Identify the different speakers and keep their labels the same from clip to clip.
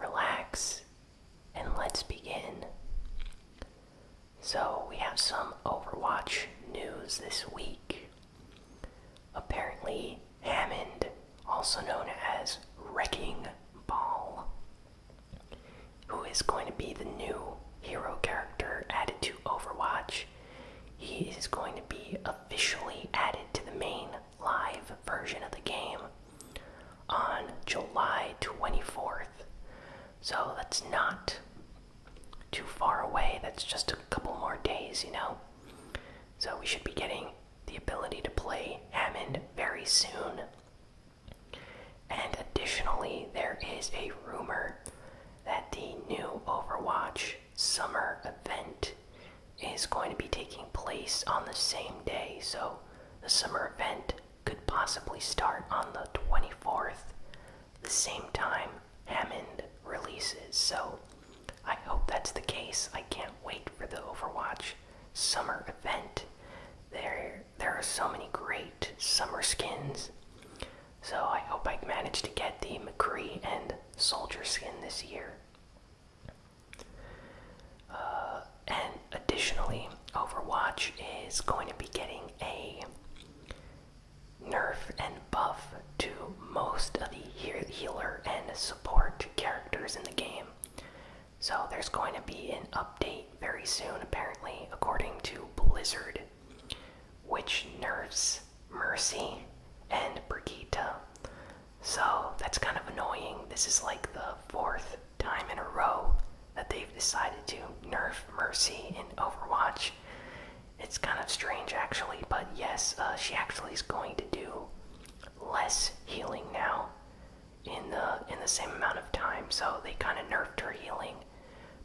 Speaker 1: relax, and let's begin. So, we have some Overwatch news this week. Apparently, Hammond, also known as Wrecking Ball, who is going to be the new hero character added to Overwatch, he is going to be officially added to the main live version of the game on July 24th. So that's not too far away. That's just a couple more days, you know? So we should be getting the ability to play Hammond very soon. And additionally, there is a rumor that the new Overwatch summer event is going to be taking place on the same day. So the summer event could possibly start on the 24th, the same time Hammond releases, so I hope that's the case. I can't wait for the Overwatch summer event. There there are so many great summer skins. So I hope I manage to get the McCree and Soldier skin this year. Uh, and additionally, Overwatch is going to be getting a nerf and buff to most of the healer and support characters in the game. So there's going to be an update very soon, apparently, according to Blizzard, which nerfs Mercy and Brigitte. So that's kind of annoying. This is like the fourth time in a row that they've decided to nerf Mercy in Overwatch. It's kind of strange, actually, but yes, uh, she actually is going to do less healing now in the in the same amount of time. So they kind of nerfed her healing.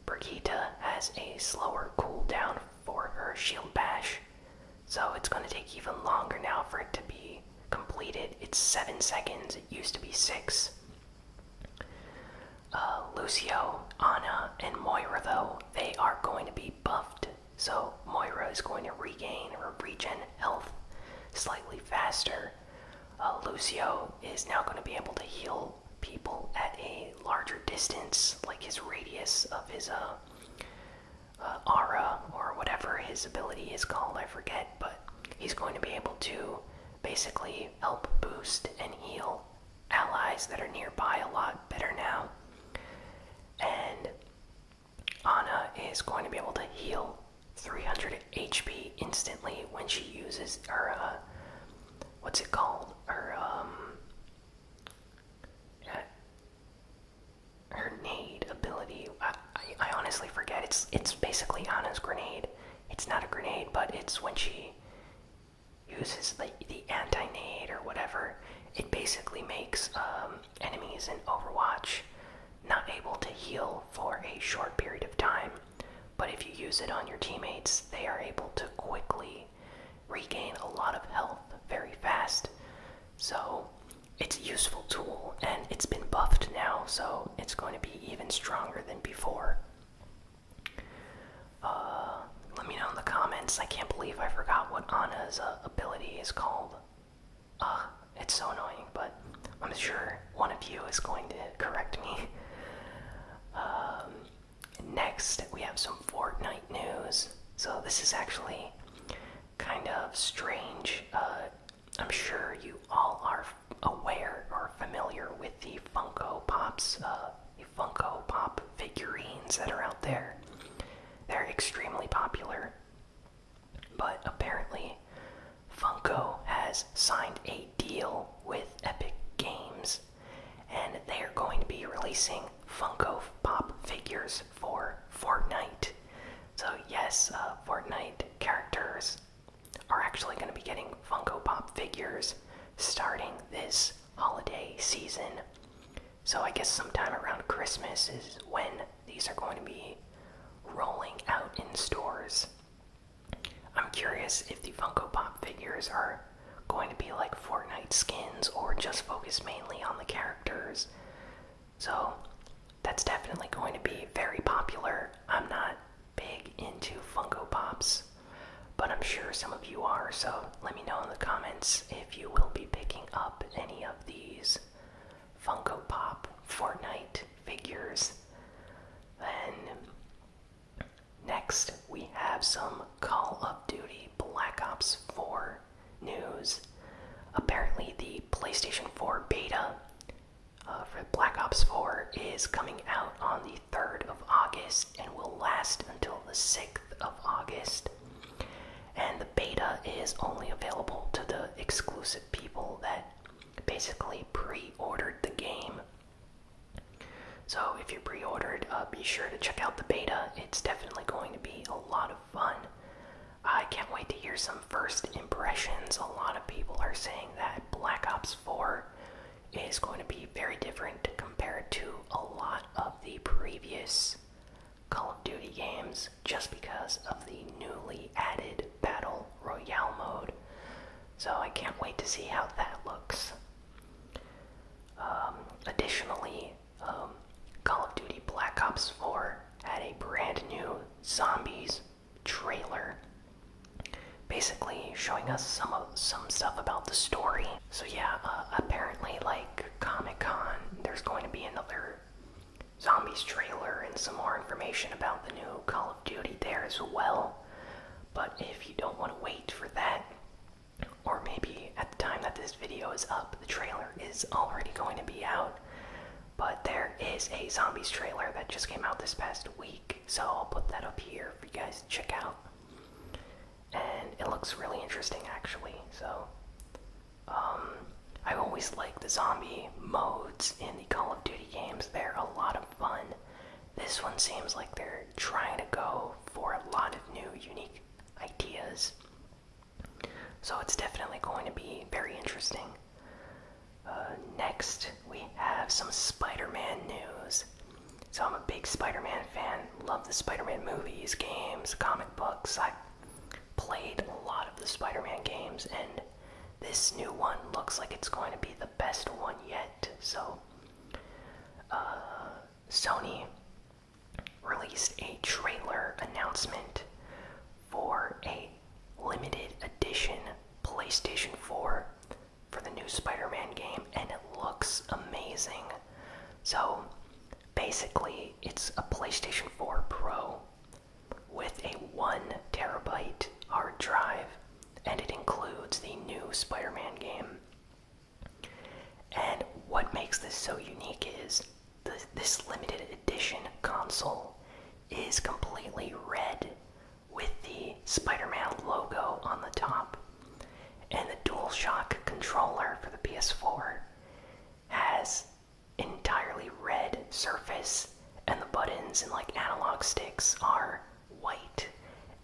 Speaker 1: Brigitte has a slower cooldown for her shield bash, so it's going to take even longer now for it to be completed. It's seven seconds. It used to be six. Uh, Lucio, Ana, and Moira, though, they are going to be buffed. So Moira is going to regain her regen health slightly faster. Uh, Lucio is now going to be able to heal people at a larger distance, like his radius of his uh, uh aura or whatever his ability is called, I forget but he's going to be able to basically help boost and heal allies that are nearby a lot better now. And Ana is going to be able to heal 300 HP instantly when she uses her, uh, what's it called? Her, um, uh, her nade ability. I, honestly forget. It's it's basically Anna's grenade. It's not a grenade, but it's when she uses the the anti-nade or whatever. It basically makes um, enemies in Overwatch not able to heal for a short period of time. But if you use it on your teammates, they are able to quickly regain a lot of health very fast. So it's a useful tool and it's been buffed now, so it's going to be even stronger than before. Uh, let me know in the comments. I can't believe I forgot what Ana's uh, ability is called. Uh, it's so annoying, but I'm sure one of you is going to correct me. Um, next, we have some Fortnite news. So, this is actually kind of strange. Uh, I'm sure you all are aware or familiar with the Funko Pops, uh, the Funko Pop figurines that are out there. They're extremely popular, but apparently, Funko has signed a deal with Epic Games, and they are going to be releasing Funko Pop figures for Fortnite. So, yes, uh, Fortnite characters are actually going to be getting Funko Pop figures starting this holiday season. So, I guess sometime around Christmas is when these are going to be rolling out in stores. I'm curious if the Funko Pop figures are going to be like Fortnite skins or just focus mainly on the characters. So, that's definitely going to be very popular. I'm not big into Funko Pops, but I'm sure some of you are, so let me know in the comments if you will be picking up any of these Funko Pop Fortnite figures. Then, next, we have some Call of Duty Black Ops 4 news. Apparently, the PlayStation 4 beta uh, for Black Ops 4 is coming out on the 3rd of August and will last until the 6th of August. And the beta is only available to the exclusive people that basically pre ordered the game. So if you pre ordered, uh, be sure to check out the beta. It's definitely going to be a lot of fun. I can't wait to hear some first impressions. A lot of people are saying that Black Ops 4 is going to be very different compared to a lot of the previous Call of Duty games just because of the newly added Battle Royale mode. So I can't wait to see how that looks. Um, additionally, um, Call of Duty Black Ops 4 had a brand new zombies trailer basically showing us some some stuff about the story so yeah uh, apparently like comic-con there's going to be another zombies trailer and some more information about the new call of duty there as well but if you don't want to wait for that or maybe at the time that this video is up the trailer is already going to be out but there is a zombies trailer that just came out this past week, so I'll put that up here for you guys to check out. And it looks really interesting, actually. So, um, I always like the zombie modes in the Call of Duty games, they're a lot of fun. This one seems like they're trying to go for a lot of new, unique ideas. So, it's definitely going to be very interesting. Uh, next, we have some Spider Man news. So, I'm a big Spider Man fan, love the Spider Man movies, games, comic books. I played a lot of the Spider Man games, and this new one looks like it's going to be the best one yet. So, uh, Sony released a trailer announcement for a limited edition PlayStation 4 for the new Spider Man game, and it looks amazing. So basically, it's a PlayStation 4 Pro with a 1 terabyte hard drive, and it includes the new Spider Man game. And what makes this so unique is this limited edition console is completely red with the Spider-Man logo on the top. And the DualShock controller for the PS4 has entirely red surface and the buttons and like analog sticks are white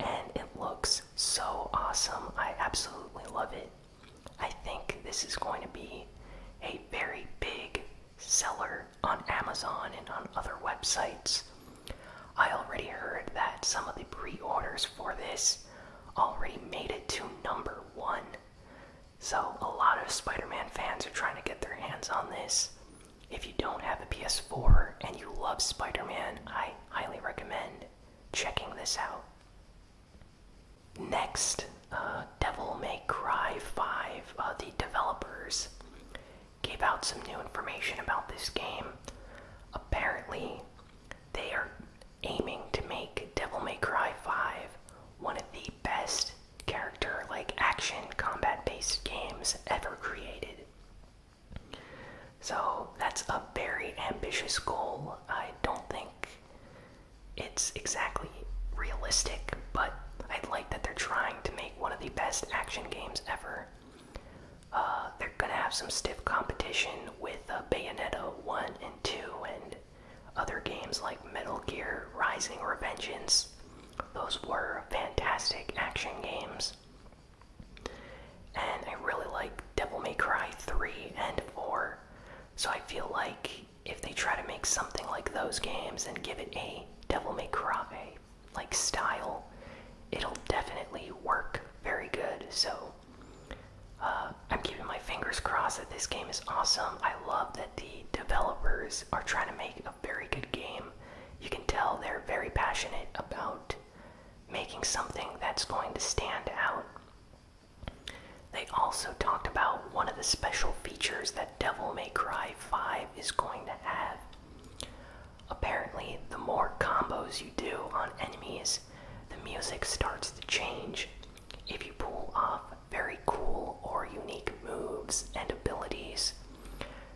Speaker 1: and it looks so awesome. I absolutely love it. I think this is going to be a very big seller on Amazon and on other websites. I already heard that some of the pre orders for this already made it to number one. So, a lot of Spider Man fans are trying to get their hands on this. If you don't have a PS4 and you love Spider Man, I highly recommend checking this out. Next, uh, Devil May Cry 5, uh, the developers gave out some new information about this game. Apparently, they are aiming to make Devil May Cry 5 one of the best character like action combat based games ever created. So, that's a very ambitious goal. I don't think it's exactly realistic, but I like that they're trying to make one of the best action games ever. Uh, they're gonna have some stiff competition with uh, Bayonetta 1 and 2 and other games like Metal Gear Rising Revengeance. Those were fantastic action games. And I really like Devil May Cry 3 and 4. So I feel like if they try to make something like those games and give it a Devil May Cry like style, it'll definitely work very good. So uh, I'm keeping my fingers crossed that this game is awesome. I love that the developers are trying to make a very good game. You can tell they're very passionate about making something that's going to stand out. They also talked about one of the special features that Devil May Cry 5 is going to have. Apparently, the more combos you do on enemies, the music starts to change. If you pull off very cool or unique moves and abilities,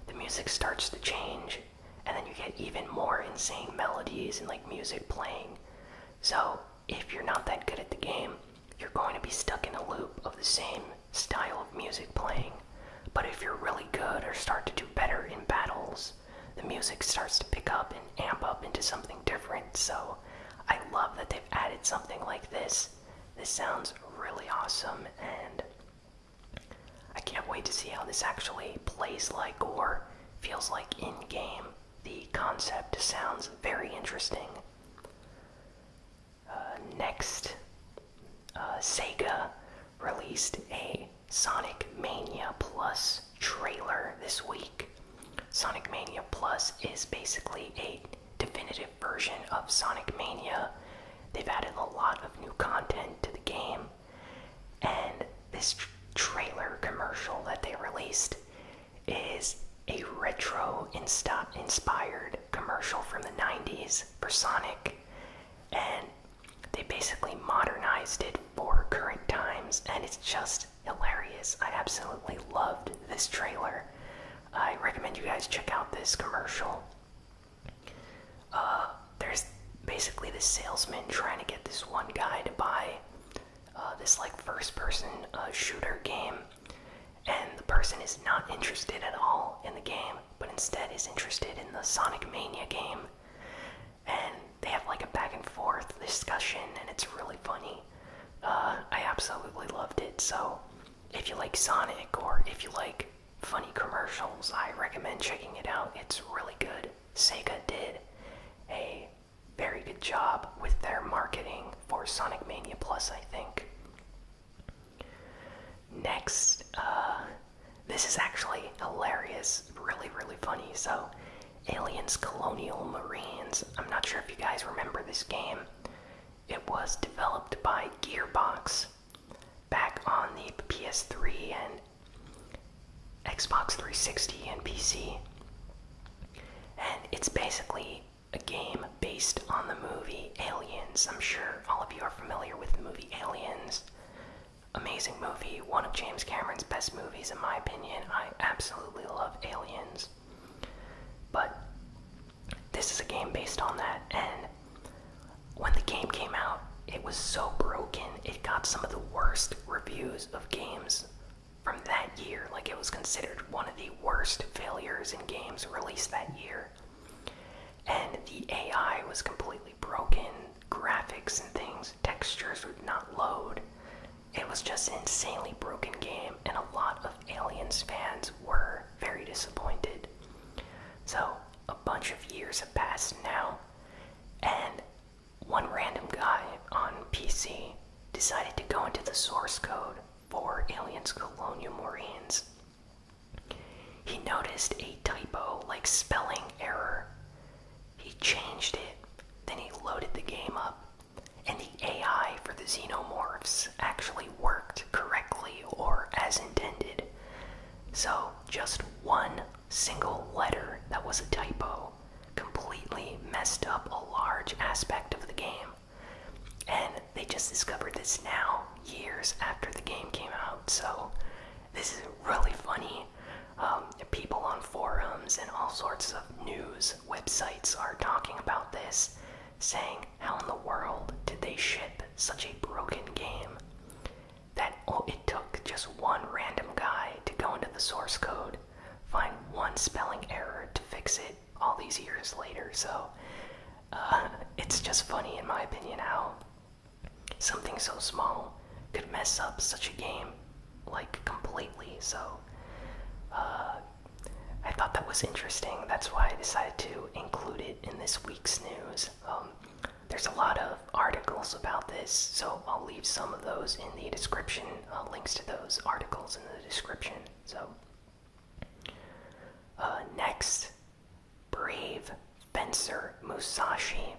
Speaker 1: the music starts to change, and then you get even more insane melodies and like music playing. So, if you're not that good at the game, you're going to be stuck in a loop of the same style of music playing. But if you're really good or start to do better in battles, the music starts to pick up and amp up into something different. So I love that they've added something like this. This sounds really awesome, and I can't wait to see how this actually plays like or feels like in game. The concept sounds very interesting. Uh, next, uh, Sega released a Sonic Mania Plus trailer this week. Sonic Mania Plus is basically a definitive version of Sonic Mania. They've added a lot of new content to the game, and this trailer commercial that they released is a retro inspired commercial from the 90s for Sonic, and they basically modernized it for current times, and it's just hilarious. I absolutely loved this trailer. I recommend you guys check out this commercial. Uh, there's basically the salesman trying to get this one guy to buy uh, this like first person uh, shooter game and the person is not interested at all in the game, but instead is interested in the Sonic Mania game. And they have like a back and forth discussion, and it's really funny. Uh, I absolutely loved it. So, if you like Sonic or if you like funny commercials, I recommend checking it out. It's really good. Sega did a very good job with their marketing for Sonic Mania Plus, I think. Next, uh, this is actually hilarious, really, really funny. So, Aliens Colonial Marines. I'm not sure if you guys remember this game. It was developed by Gearbox back on the PS3 and Xbox 360 and PC. And it's basically a game based on the movie Aliens. I'm sure all of you are familiar with the movie Aliens. Amazing movie, one of James Cameron's best movies, in my opinion. I absolutely love Aliens. But this is a game based on that, and when the game came out, it was so broken, it got some of the worst reviews of games from that year. Like, it was considered one of the worst failures in games released that year. And the AI was completely broken, graphics and things, textures would not load. It was just an insanely broken game, and a lot of Aliens fans were very disappointed. So, a bunch of years have passed now, and one random guy on PC decided to go into the source code for Aliens Colonial Marines he noticed a typo like spelling error. He changed it, then he loaded the game up, and the AI for the xenomorphs actually worked correctly or as intended. So, just one single letter that was a typo completely messed up a large aspect of the game. And they just discovered this now, years after the game came out. So this is really funny. Um, people on forums and all sorts of news websites are talking about this, saying, How in the world did they ship such a broken game? That oh, it took just one random guy to go into the source code, find one spelling error to fix it, all these years later. So uh, it's just funny, in my opinion, how something so small could mess up such a game like completely. So uh, I thought that was interesting. That's why I decided to include it in this week's news. Um, there's a lot of articles about this, so I'll leave some of those in the description, uh, links to those articles in the description. So uh, next, Brave Fencer Musashi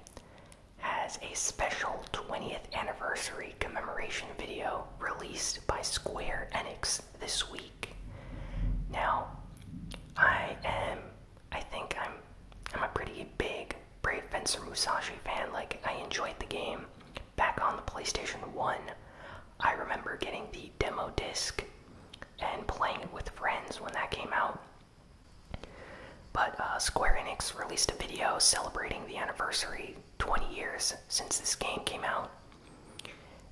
Speaker 1: has a special 20th anniversary commemoration video released by Square Enix this week. Now, I am, I think I'm, I'm a pretty big Brave Fencer Musashi fan. Like, I enjoyed the game back on the PlayStation 1. I remember getting the demo disc and playing with friends when that came out. But uh, Square Enix released a video celebrating the anniversary 20 years since this game came out.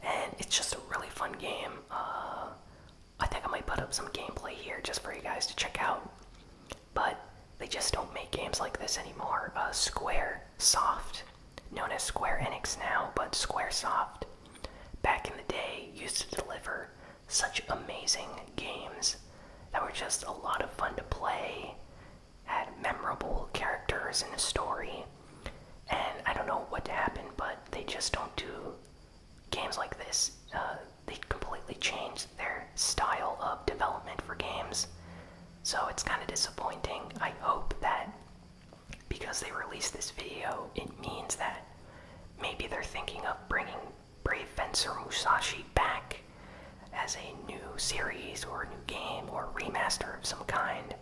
Speaker 1: And it's just a really fun game. Uh, I think I might put up some gameplay here just for you guys to check out. But they just don't make games like this anymore. Uh, Square, Soft, known as Square Enix now, but Squaresoft, back in the day used to deliver such amazing games that were just a lot of fun to play, had memorable characters and a story. And I don't know what happened, but they just don't do games like this. Uh, they completely changed their style of development for games. So it's kind of disappointing. I hope that because they released this video, it means that maybe they're thinking of bringing Brave Fencer Musashi back as a new series or a new game or remaster of some kind.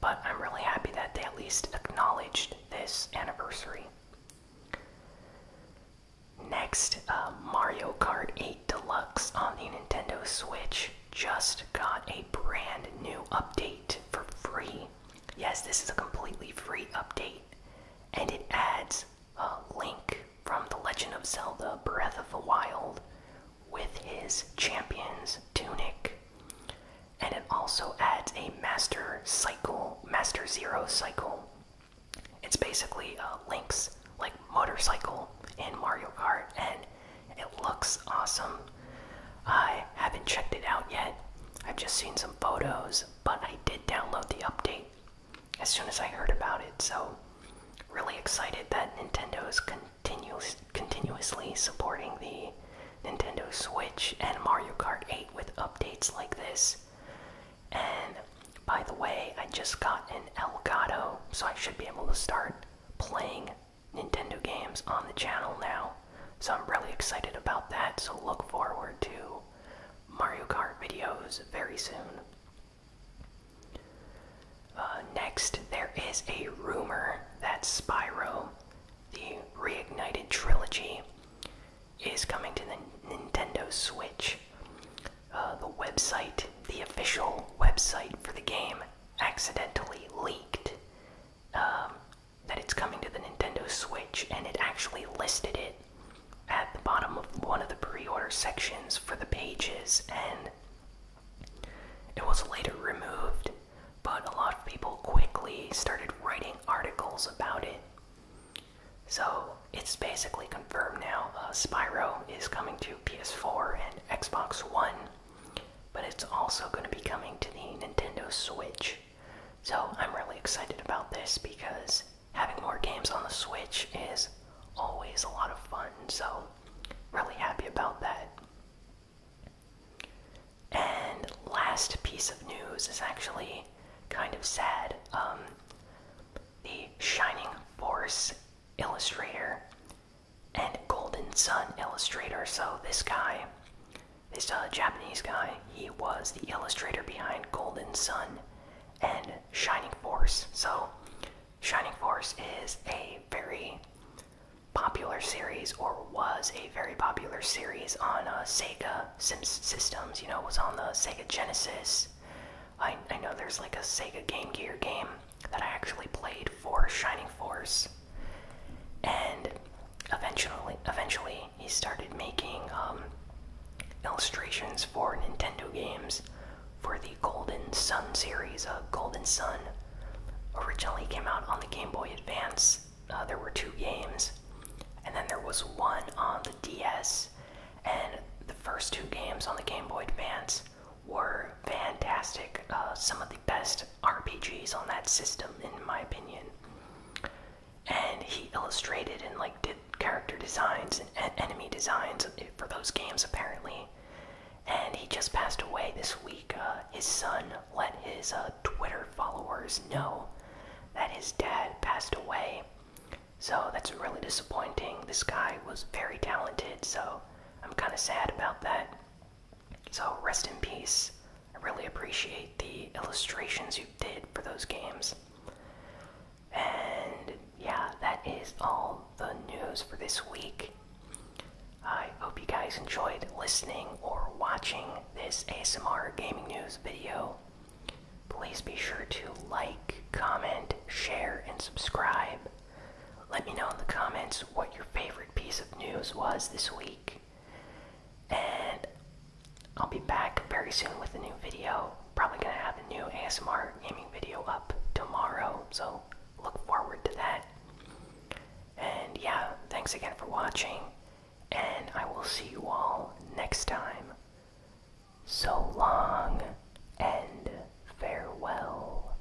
Speaker 1: But I'm really happy that they at least acknowledged this anniversary. Next, uh, Mario Kart 8 Deluxe on the Nintendo Switch just got a brand new update for free. Yes, this is a completely free update, and it adds a link from The Legend of Zelda Breath of the Wild with his champion's tunic. And it also adds a master cycle, master zero cycle. It's basically a uh, Link's like motorcycle in Mario Kart, and it looks awesome. I haven't checked it out yet. I've just seen some photos, but I did download the update as soon as I heard about it. So, really excited that Nintendo is continuous, continuously supporting the Nintendo Switch and Mario Kart 8 with updates like this. And by the way, I just got an Elgato, so I should be able to start playing Nintendo games on the channel now, so I'm really excited about that. So look forward to Mario Kart videos very soon. Uh, next, there is a rumor that Spyro, the reignited trilogy, is coming to the Nintendo Switch. Uh, the website, the official website for the game, accidentally leaked, um, that it's coming to the Nintendo Switch, and it actually listed it at the bottom of one of the pre order sections for the pages, and it was later removed. But a lot of people quickly started writing articles about it. So it's basically confirmed now uh, Spyro is coming to PS4 and Xbox One. But it's also going to be coming to the Nintendo Switch. So I'm really excited about this because having more games on the Switch is always a lot of fun. So, really happy about that. And last piece of news is actually kind of sad. Um, the Shining Force illustrator and Golden Sun illustrator. So this guy, this uh, Japanese guy, he was the illustrator behind Golden Sun and Shining Force. So Shining Force is a very popular series, or was a very popular series on uh, Sega systems. You know, it was on the Sega Genesis. I, I know there's like a Sega Game Gear game that I actually played for Shining Force and eventually, eventually he started making um, illustrations for Nintendo games for the Golden Sun series. Uh, Golden Sun originally came out on the Game Boy Advance. Uh, there were two games, and then there was one on the DS. And the first two games on the Game Boy Advance were fantastic. Uh, some of the best RPGs on that system, in my opinion. And he illustrated and like did character designs and enemy designs for those games, apparently. And he just passed away this week. Uh, his son let his uh, Twitter followers know that his dad passed away. So that's really disappointing. This guy was very talented, so I'm kind of sad about that. So rest in peace. I really appreciate the illustrations you did for those games. And yeah, that is all the news for this week. I hope you guys enjoyed listening or watching this ASMR gaming news video. Please be sure to like, comment, share, and subscribe. Let me know in the comments what your favorite piece of news was this week. And I'll be back very soon with a new video. Probably gonna have a new ASMR gaming video up tomorrow, so look forward to that. And yeah, thanks again for watching, and I will see you all next time. So long and farewell.